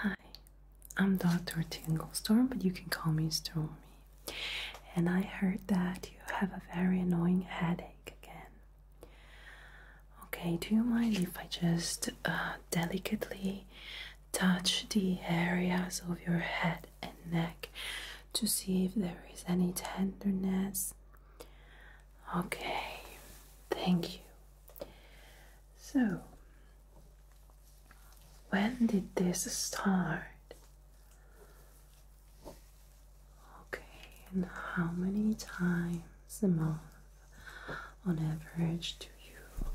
Hi, I'm Dr. Tinglestorm, but you can call me Stormy. And I heard that you have a very annoying headache again. Okay, do you mind if I just uh, delicately touch the areas of your head and neck to see if there is any tenderness? Okay, thank you. So, when did this start? Okay, and how many times a month on average do you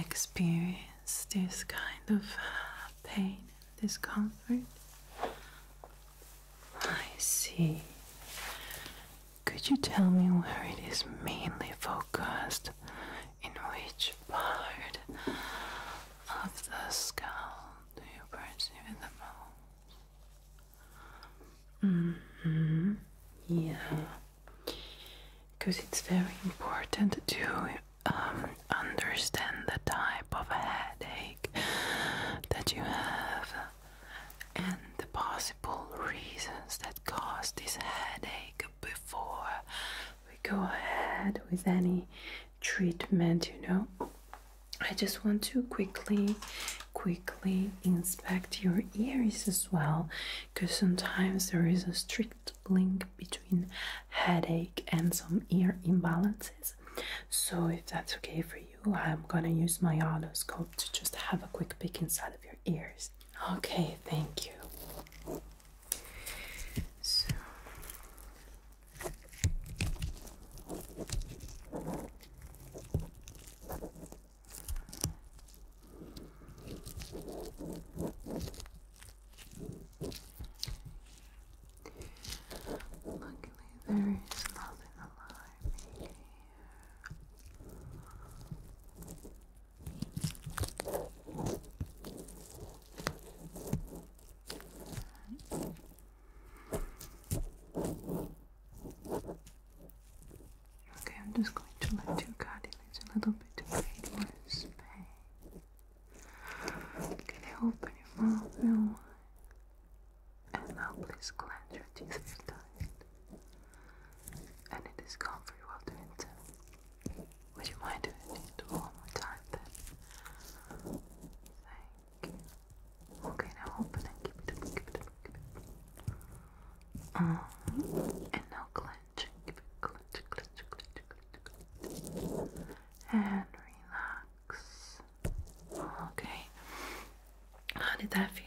experience this kind of pain and discomfort? I see. Could you tell me where it is mainly focused? In which part of the skull do you perceive it the most? Mm hmm. Yeah. Because it's very important to um, understand the type of headache that you have and the possible reasons that cause this headache before we go ahead with any treatment, you know. I just want to quickly, quickly inspect your ears as well, because sometimes there is a strict link between headache and some ear imbalances. So, if that's okay for you, I'm gonna use my otoscope to just have a quick peek inside of your ears. Okay, thank you. So Luckily, there is nothing alive here. Okay, I'm just going to let you your cartilage a little bit to create more space. Can you open your mouth real And now please clench your teeth if tight and it is comfy while doing so. Would you mind doing it one more time then? Thank you. Okay, now open and keep it keep it keep it up. Um, uh, and now clench, keep it clench, clench, clench, clench, clench. And relax. Okay. How did that feel?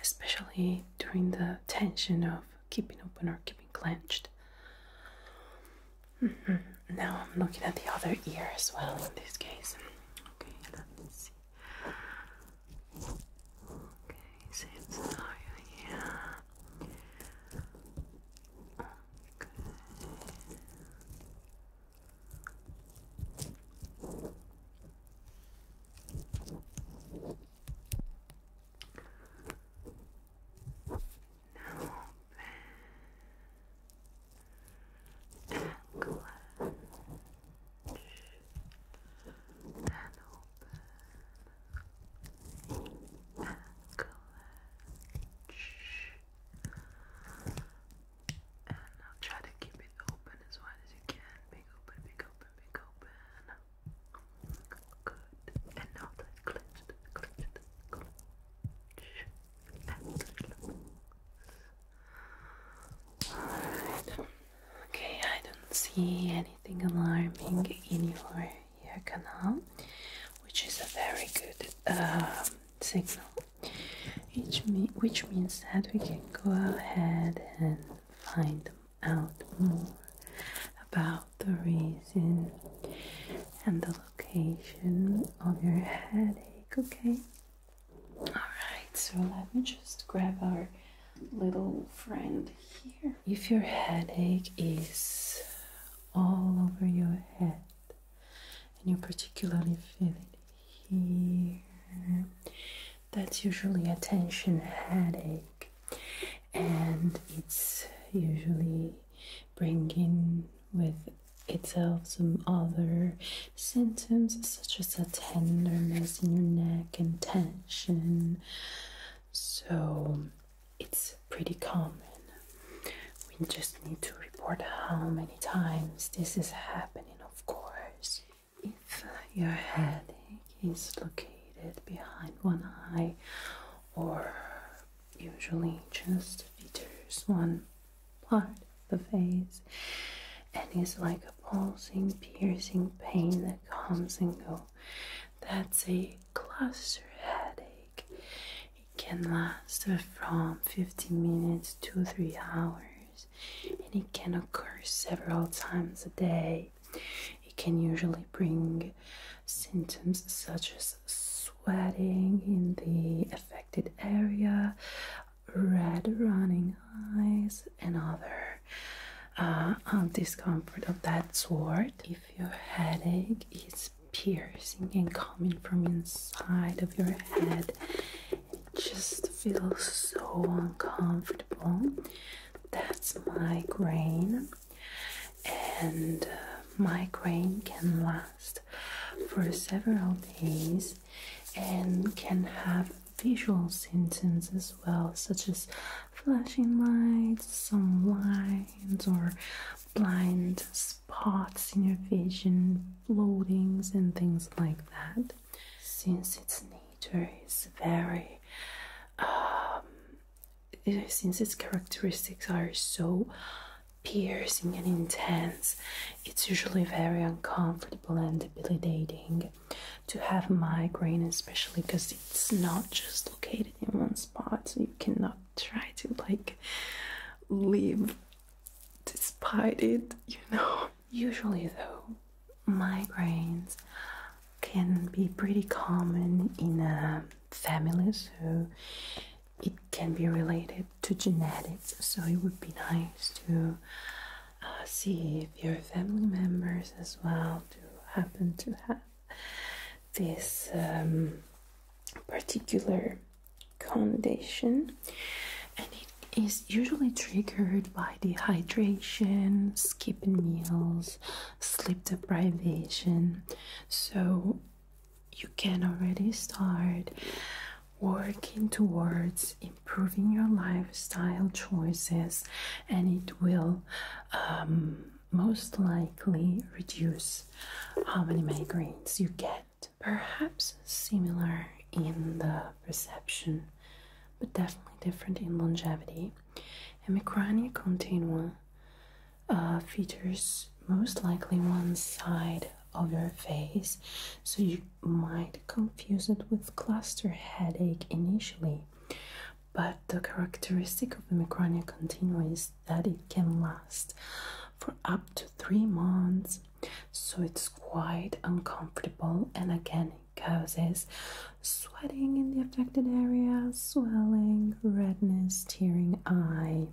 especially during the tension of keeping open or keeping clenched. Mm-hmm. Now I'm looking at the other ear as well in this case. Okay, let me see. Okay, same scenario here. Okay. Now open and close and open and close and I'll try to keep it open as wide as you can. Big open, big open, big open. Good. And now that cleansed, cleansed, cleansed. Alright. Okay, I don't see anything alarming in your ear canal, which is a very good um, signal. Which, me which means that we can go ahead and find out more about the reason and the location of your headache, okay? Alright, so let me just grab our little friend here. If your headache is all over your head and you particularly feel it here, that's usually a tension headache and it's usually bringing with itself some other symptoms such as a tenderness in your neck and tension so it's pretty common we just need to report how many times this is happening of course if your headache is located behind one eye, or usually just features one part of the face, and is like a pulsing, piercing pain that comes and goes, that's a cluster headache. It can last from 15 minutes to 3 hours, and it can occur several times a day. It can usually bring symptoms such as sweating in the affected area, red running eyes, and other uh, discomfort of that sort. If your headache is piercing and coming from inside of your head, it just feels so uncomfortable. That's migraine, and uh, migraine can last for several days and can have visual symptoms as well, such as flashing lights, some lines, or blind spots in your vision, floatings, and things like that. Since its nature is very um, since its characteristics are so piercing and intense, it's usually very uncomfortable and debilitating to have a migraine, especially because it's not just located in one spot, so you cannot try to like live despite it, you know. Usually, though, migraines can be pretty common in uh, families, so it can be related to genetics. So it would be nice to uh, see if your family members as well do happen to have this um, particular condition, and it is usually triggered by dehydration, skipping meals, sleep deprivation. So you can already start working towards improving your lifestyle choices, and it will um, most likely reduce how many migraines you get. Perhaps similar in the perception but definitely different in longevity. And Micrania continua uh, features most likely one side of your face, so you might confuse it with cluster headache initially. But the characteristic of the micronia continua is that it can last for up to three months, so it's quite uncomfortable and again mycosis, sweating in the affected area, swelling, redness, tearing eye,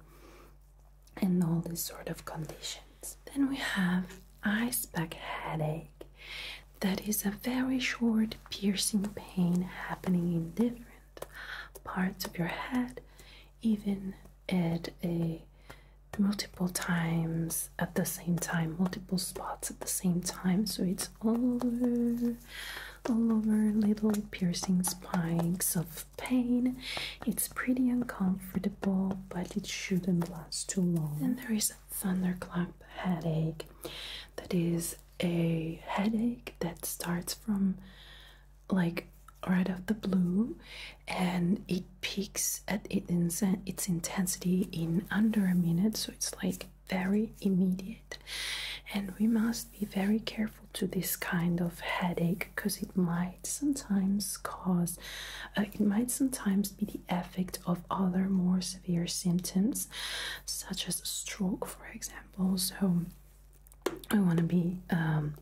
and all these sort of conditions. Then we have ice pack headache. That is a very short piercing pain happening in different parts of your head, even at a multiple times at the same time, multiple spots at the same time. So it's all over, all over little piercing spikes of pain. It's pretty uncomfortable, but it shouldn't last too long. Then there is a thunderclap headache. That is a headache that starts from like right off the blue and it peaks at its intensity in under a minute so it's like very immediate and we must be very careful to this kind of headache because it might sometimes cause uh, it might sometimes be the effect of other more severe symptoms such as stroke for example so i want to be um,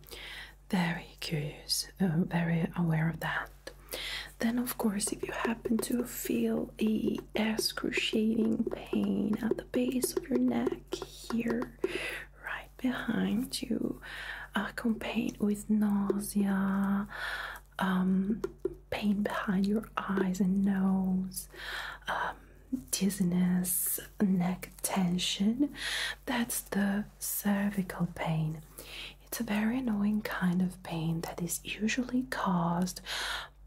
very curious uh, very aware of that then of course if you happen to feel a excruciating pain at the base of your neck here, right behind you, accompanied with nausea, um, pain behind your eyes and nose. Um, dizziness, neck tension. That's the cervical pain. It's a very annoying kind of pain that is usually caused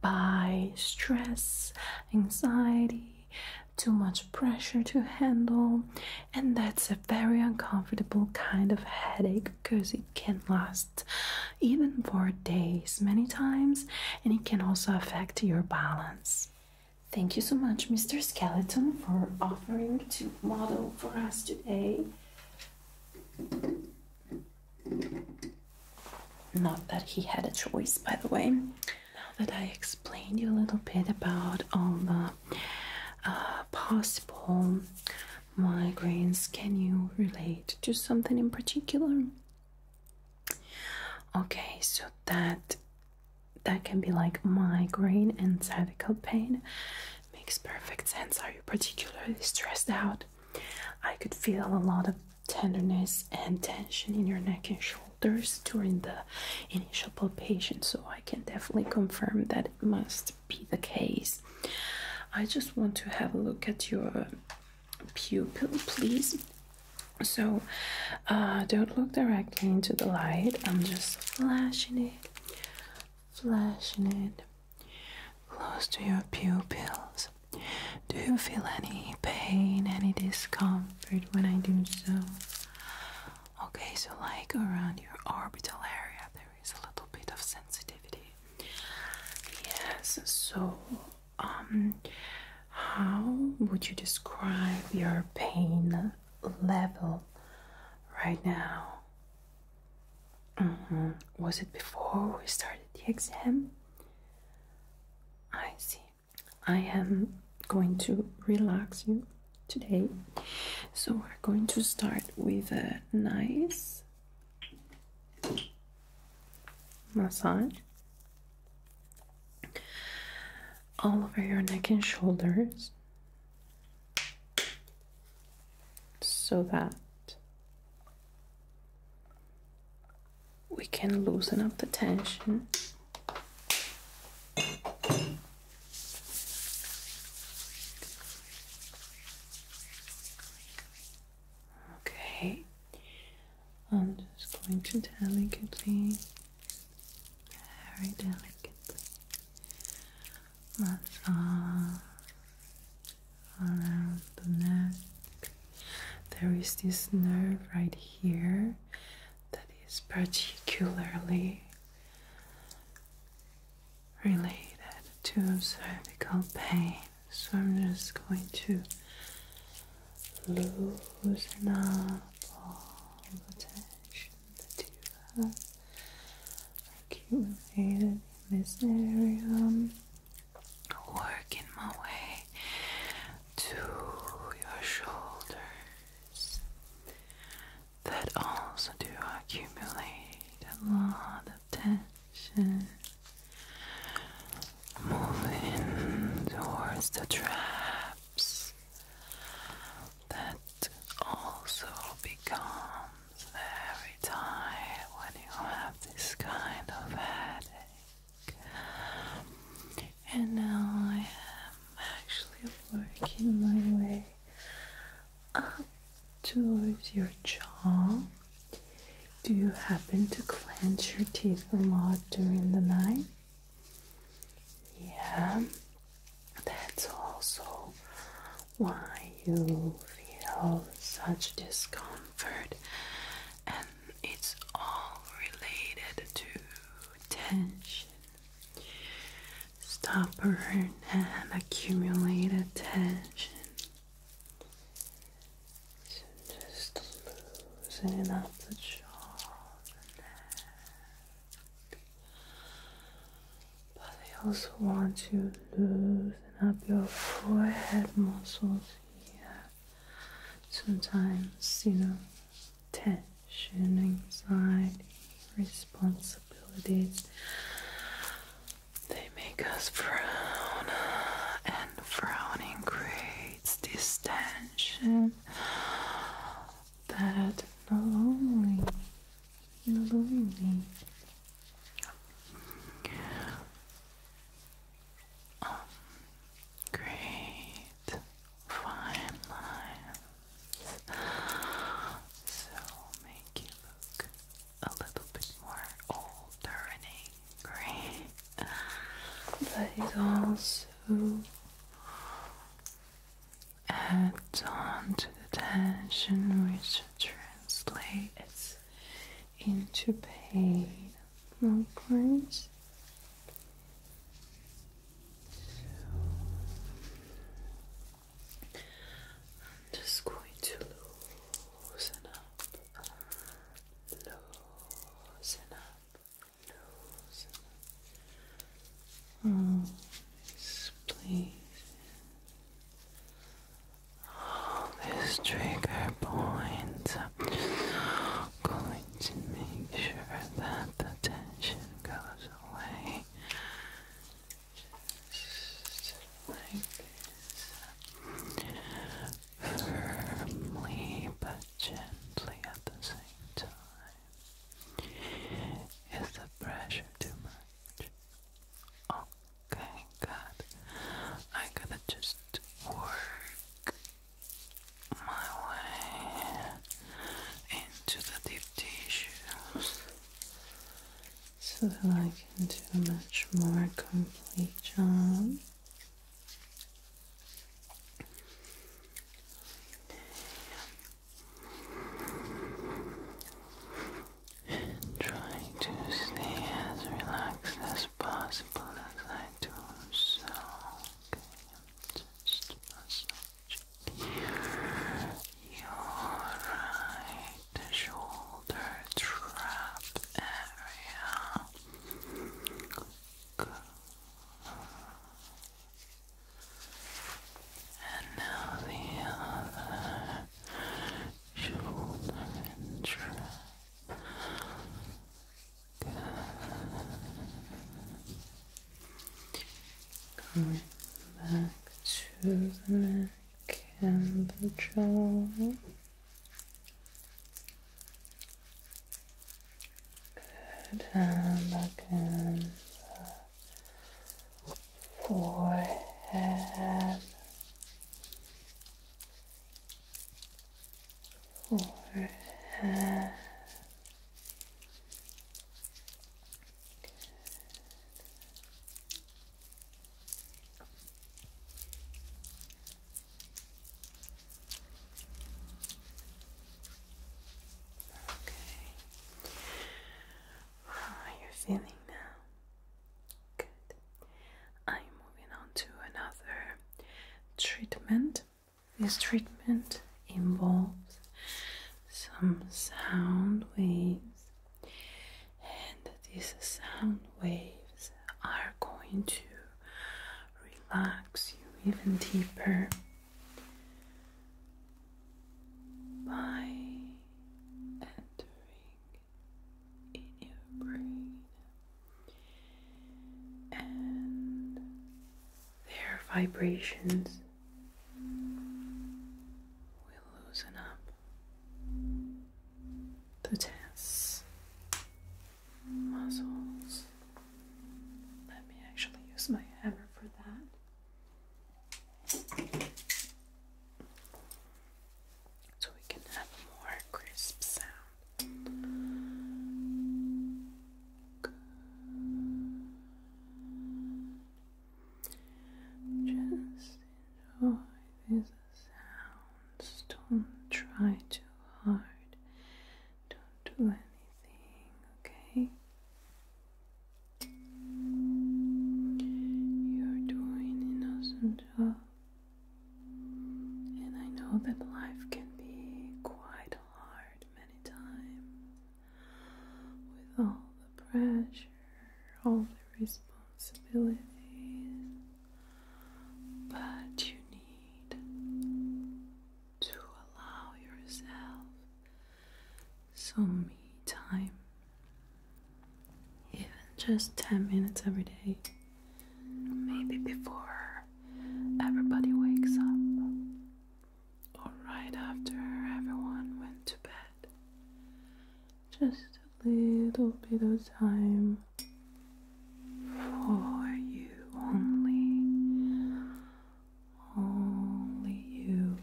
by stress, anxiety, too much pressure to handle, and that's a very uncomfortable kind of headache because it can last even for days many times and it can also affect your balance. Thank you so much, Mr. Skeleton, for offering to model for us today. Not that he had a choice, by the way. Now that I explained you a little bit about all the uh, possible migraines, can you relate to something in particular? Okay, so that that can be like migraine and cervical pain. Makes perfect sense. Are you particularly stressed out? I could feel a lot of tenderness and tension in your neck and shoulders during the initial palpation, so I can definitely confirm that it must be the case. I just want to have a look at your pupil, please. So, uh, don't look directly into the light. I'm just flashing it, flashing it close to your pupils. Do you feel any pain, any discomfort when I do so? Okay, so like around your orbital area, there is a little bit of sensitivity. Yes, so um how would you describe your pain level right now? Uh-huh. Was it before we started the exam? I see. I am going to relax you today. So we're going to start with a nice massage all over your neck and shoulders so that we can loosen up the tension. Okay, I'm just going to delicately, very delicately massage around the neck. There is this nerve right here that is particularly related to cervical pain. So I'm just going to loosen up all the tension that you have accumulated in this area working my way to your shoulders that also do accumulate a lot of tension moving towards the traps that also becomes very tight when you have this kind of headache. And now I am actually working my way up towards your jaw. Do you happen to clench your teeth a lot during the night? Yeah, that's also why you feel such discomfort and it's all related to tension. Stop and accumulated tension. So just loosening up the jaw, the neck. But I also want to loosen up your forehead muscles sometimes, you know, tension, anxiety, responsibilities, they make us frown, and frowning creates distension that not only, not only um, great, fine lines. So make you look a little bit more older and angry, but also adds on to the tension, which translates into pain. Okay. So. I'm just going to loosen up, loosen up, loosen up. this place all these trigger points. I'm just going to make sure that the tension goes away. Just like this. Firmly but gently at the same time. Is the pressure too much? Oh, Okay, good. I'm to just work my way into the deep tissues so that I can do a much more complete job. Try to stay as relaxed as possible simple as I do, so okay, I'm just your right shoulder trap area. And now the other shoulder trap back to the neck and the jaw. Good. And again the forehead forehead. Okay. How ah, are you feeling now? Good. I'm moving on to another treatment. This treatment involves some sound waves, and these sound waves are going to relax you even deeper by entering in your brain. And their vibrations will loosen up the tense muscles. Let me actually use my hammer for that so we can have a more crisp sound. Just enjoy these sounds. Don't try too hard. Don't do anything, okay? You're doing an awesome job. And I know that life can be quite hard many times with all the pressure, all the responsibilities, but you need to allow yourself some me time even just 10 minutes every day, maybe before everybody wakes up or right after everyone went to bed. Just a little bit of time for you only, only you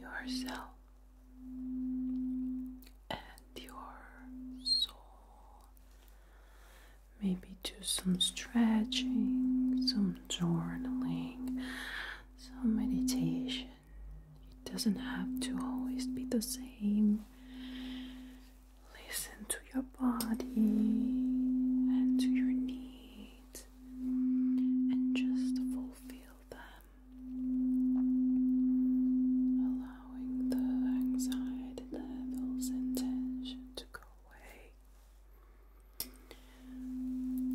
yourself and your soul. Maybe do some stretching, some journaling, some meditation. It doesn't have to always be the same. Listen to your body and to your needs and just fulfill them allowing the anxiety levels and tension to go away.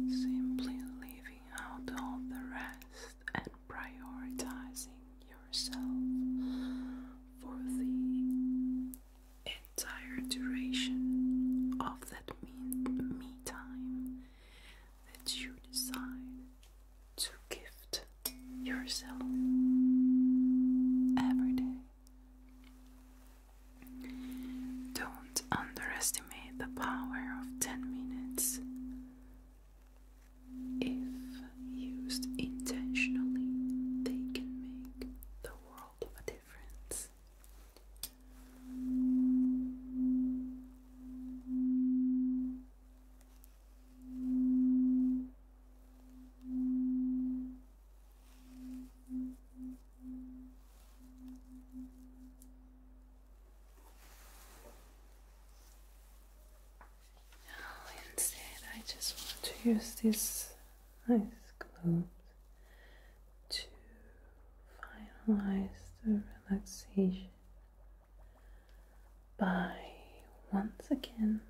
Simply leaving out all the rest and prioritizing yourself for the entire duration of that me, me time that you decide to gift yourself every day. Don't underestimate the power of 10 minutes. If used intentionally, they can make the world of a difference. Now instead I just want to use these nice globes to finalize the relaxation by once again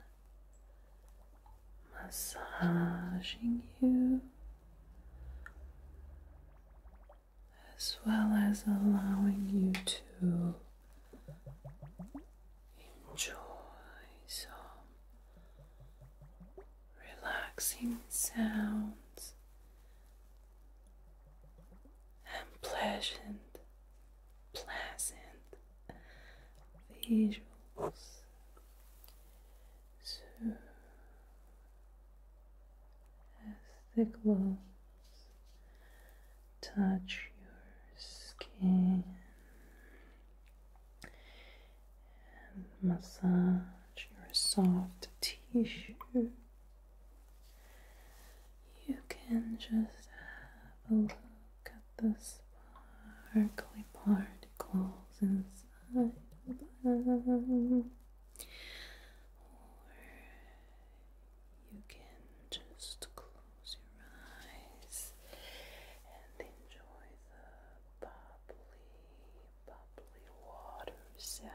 massaging you as well as allowing you to enjoy some relaxing sounds and pleasant pleasant visuals. as the gloves touch your skin and massage your soft tissue you can just have a look at the sparkly particles inside Or you can just close your eyes and enjoy the bubbly, bubbly water sound.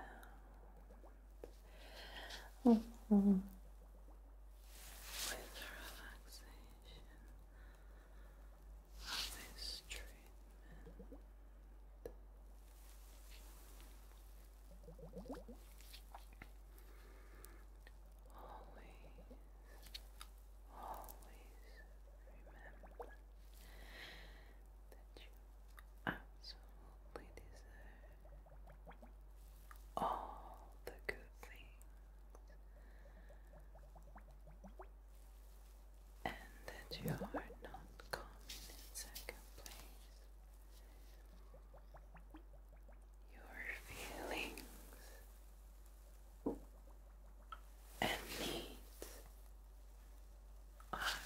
Mm With relaxation of this Always, always remember that you absolutely deserve all the good things, and that you are not coming in second place. Your feelings and needs are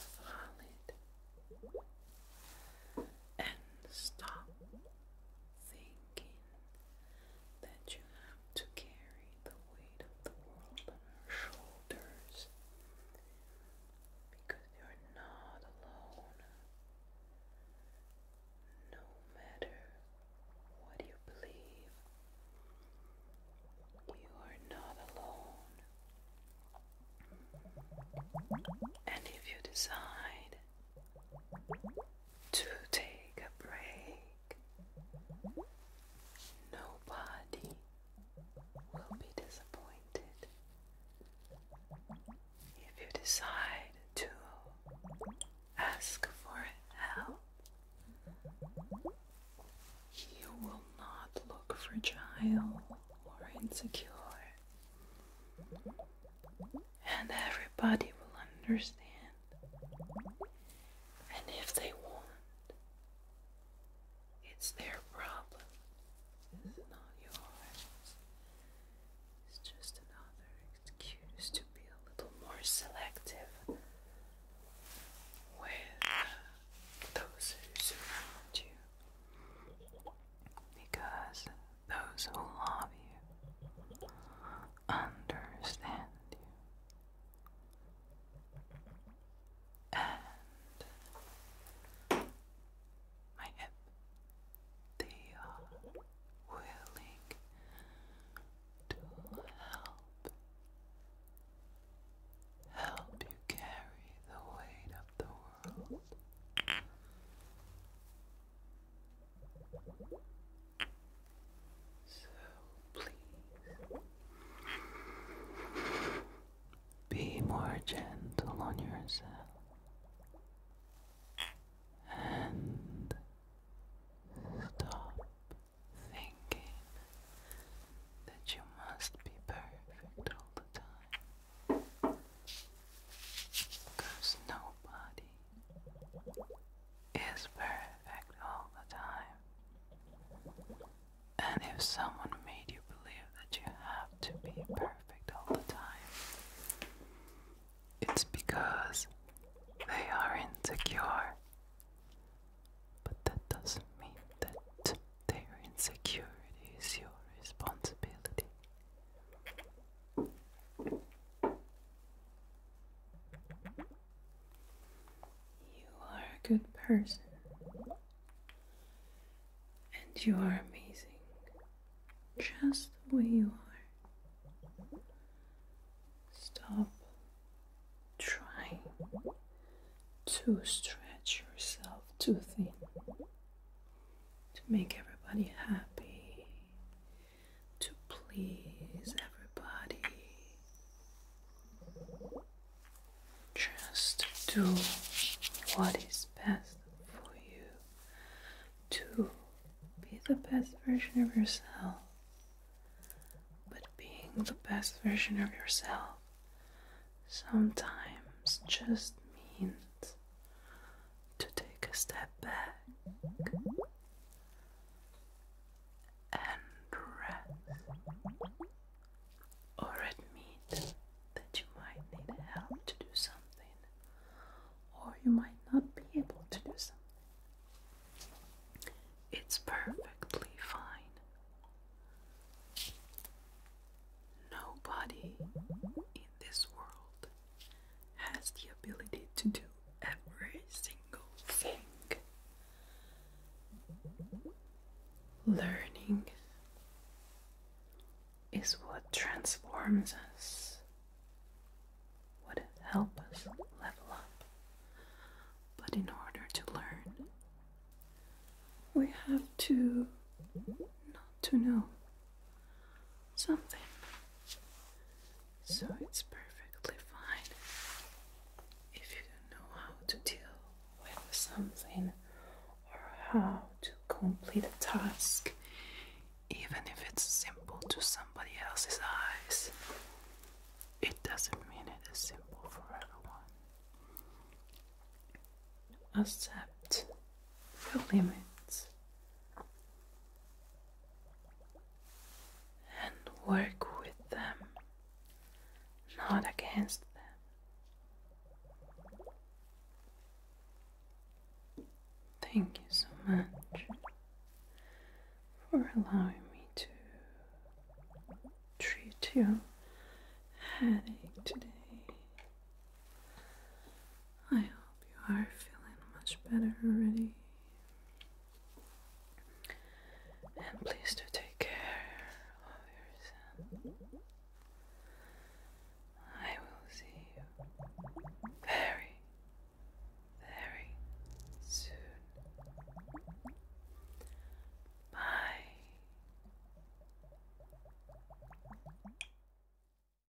valid and stop thinking that you have to carry the weight of the world on your shoulders because you're not alone. No matter what you believe, you are not alone. And if you decide to take a break. Nobody will be disappointed if you decide to ask for help. You will not look fragile or insecure and everybody will understand. And if they want, it's their problem. not yours. It's just another excuse to be a little more selective with those who you. Because those who love you, understand you. And my hip, they are uh, willing to help. Help you carry the weight of the world. So please be more gentle on yourself and stop thinking that you must be perfect all the time. Cause nobody is perfect all the time. And if someone made you believe that you have to be perfect all the time, it's because they are insecure. But that doesn't mean that their insecurity is your responsibility. You are a good person, and you are amazing just the way you are. Stop trying to stretch yourself too thin to make everybody happy to please everybody. Just do what is best for you to be the best version of yourself. But being the best version of yourself sometimes just means to take a step back and admit that you might need help to do something, or you might not be able to do something. It's perfectly fine. Nobody in this world has the ability to do every single thing. Learning is what transforms us, what helps us level up. But in order to learn, we have to not to know something. So it's perfectly fine if you don't know how to deal with something or how to complete a task, even if it's simple to somebody else's eyes. It doesn't mean it is simple for everyone. Accept your limits and work with them, not against them. Thank you so much for allowing me to treat your headache today. I hope you are feeling much better already. And please do take care of yourself. I will see you very, very soon. Bye.